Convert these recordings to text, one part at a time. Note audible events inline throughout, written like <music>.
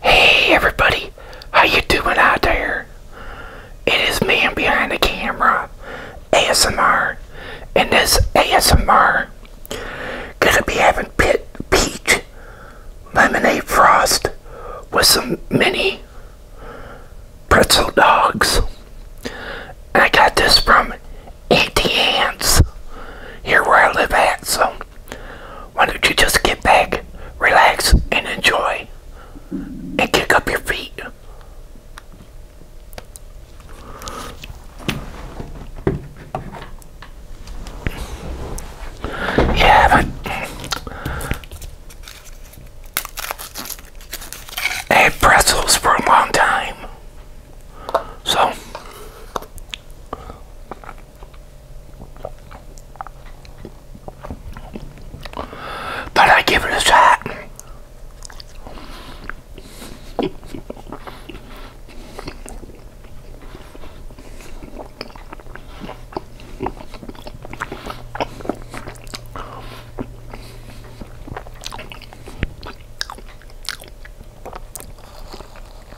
Hey everybody, how you doing out there? It is man behind the camera, ASMR, and this ASMR gonna be having pit peach lemonade frost with some mini pretzel dogs. I got this from Auntie Anne's here where I live at, so why don't you just get back, relax, and enjoy? And kick up your feet. Yeah, I had pretzels for a long time. So, but I give it a shot.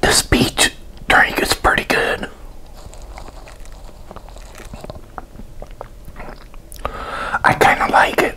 This peach drink is pretty good. I kind of like it.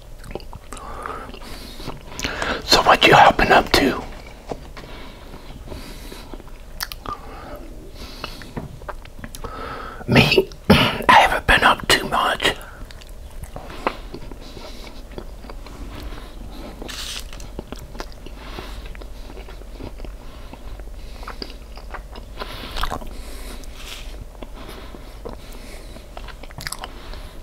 So what you hopping up to? Me, <clears throat> I haven't been up too much.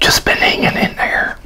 Just been hanging in there.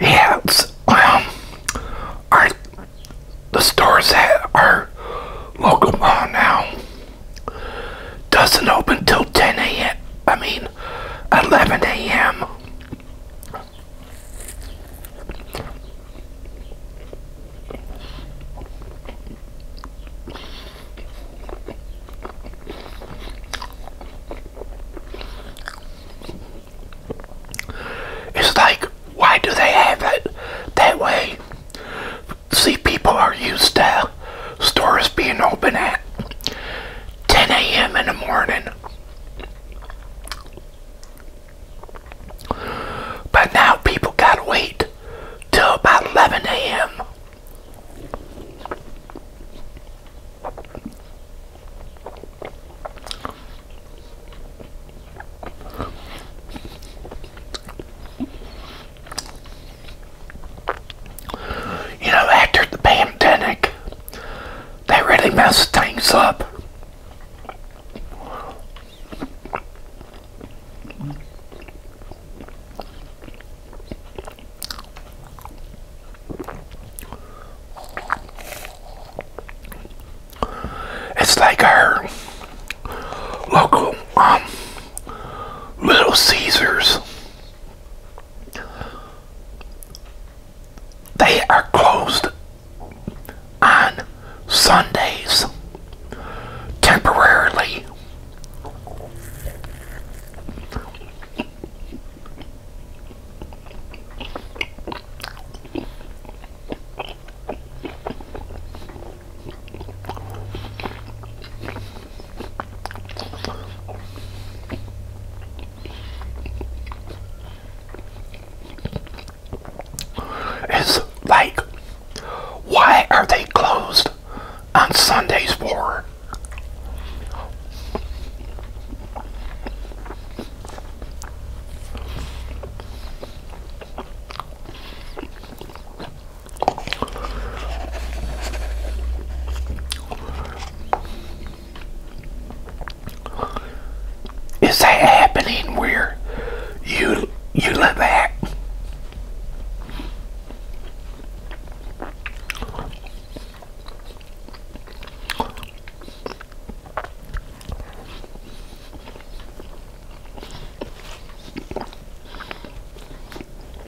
Yeah, um, our, the stores at our local uh, now doesn't open till 10 a.m. I mean, 11 a.m. It's like, why do they have it that way? See, people are used to uh, stores being open at 10 a.m. in the morning. But now people gotta wait till about 11 a.m. You know, after the pandemic, they really messed things up. It's like our local um, Little Caesars. They are closed on Sundays temporarily. It's like, why are they closed on Sundays for? Is that happening where you you live at?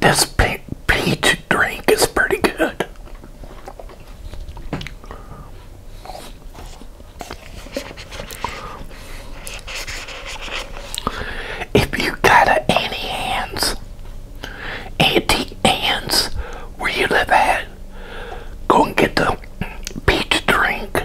This pe peach drink is pretty good. If you got a any hands, anti hands, where you live at, Go and get the peach drink.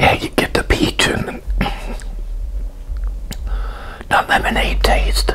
Yeah, you get the peach and the lemonade taste.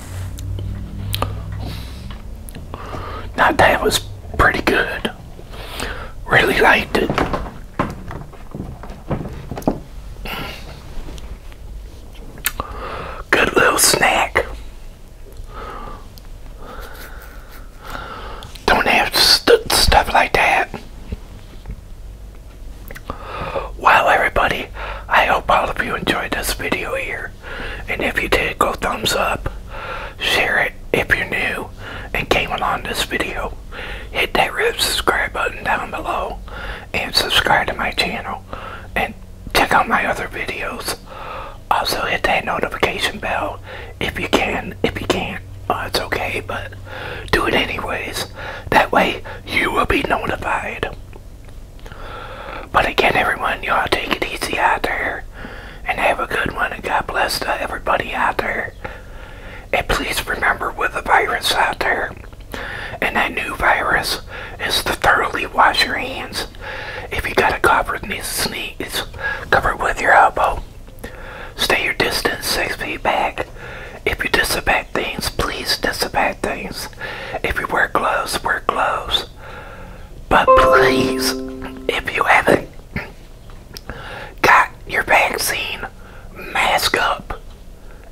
That day was pretty good. Really liked it. Good little snack. Don't have st stuff like that. Wow, everybody, I hope all of you enjoyed this video here. And if you did, go thumbs up, share it if you're new and came along this video. Hit that red subscribe button down below and subscribe to my channel and check out my other videos. Also hit that notification bell if you can. If you can't, oh, it's okay, but do it anyways. That way you will be notified. But again, everyone, y'all take it easy out there and have a good one. And God bless everybody out there. And please remember with the virus out there, and that new virus is to thoroughly wash your hands. If you got a cough it or sneeze, cover it with your elbow. Stay your distance six feet back. If you disinfect things, please disinfect things. If you wear gloves, wear gloves. But please, if you haven't got your vaccine, mask up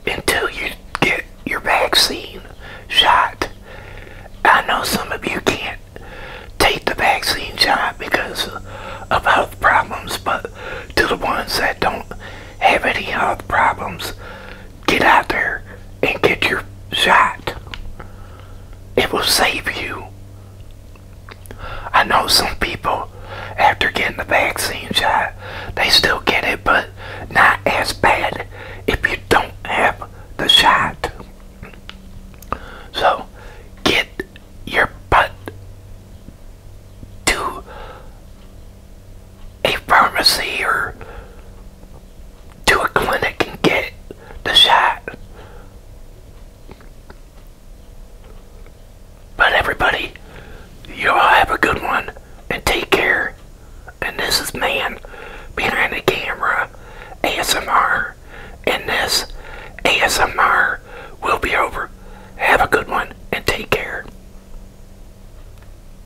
until you get your vaccine shot. I know some of you can't take the vaccine shot because of health problems, but to the ones that don't have any health problems, get out there and get your shot. It will save you. I know some people, after getting the vaccine shot, they still get it, but not as bad if you don't have the shot. So, get your butt to a pharmacy or to a clinic and get the shot. But everybody, you all have a good one and take care. And this is Man Behind the Camera ASMR. And this ASMR will be over. Have a good one and take care.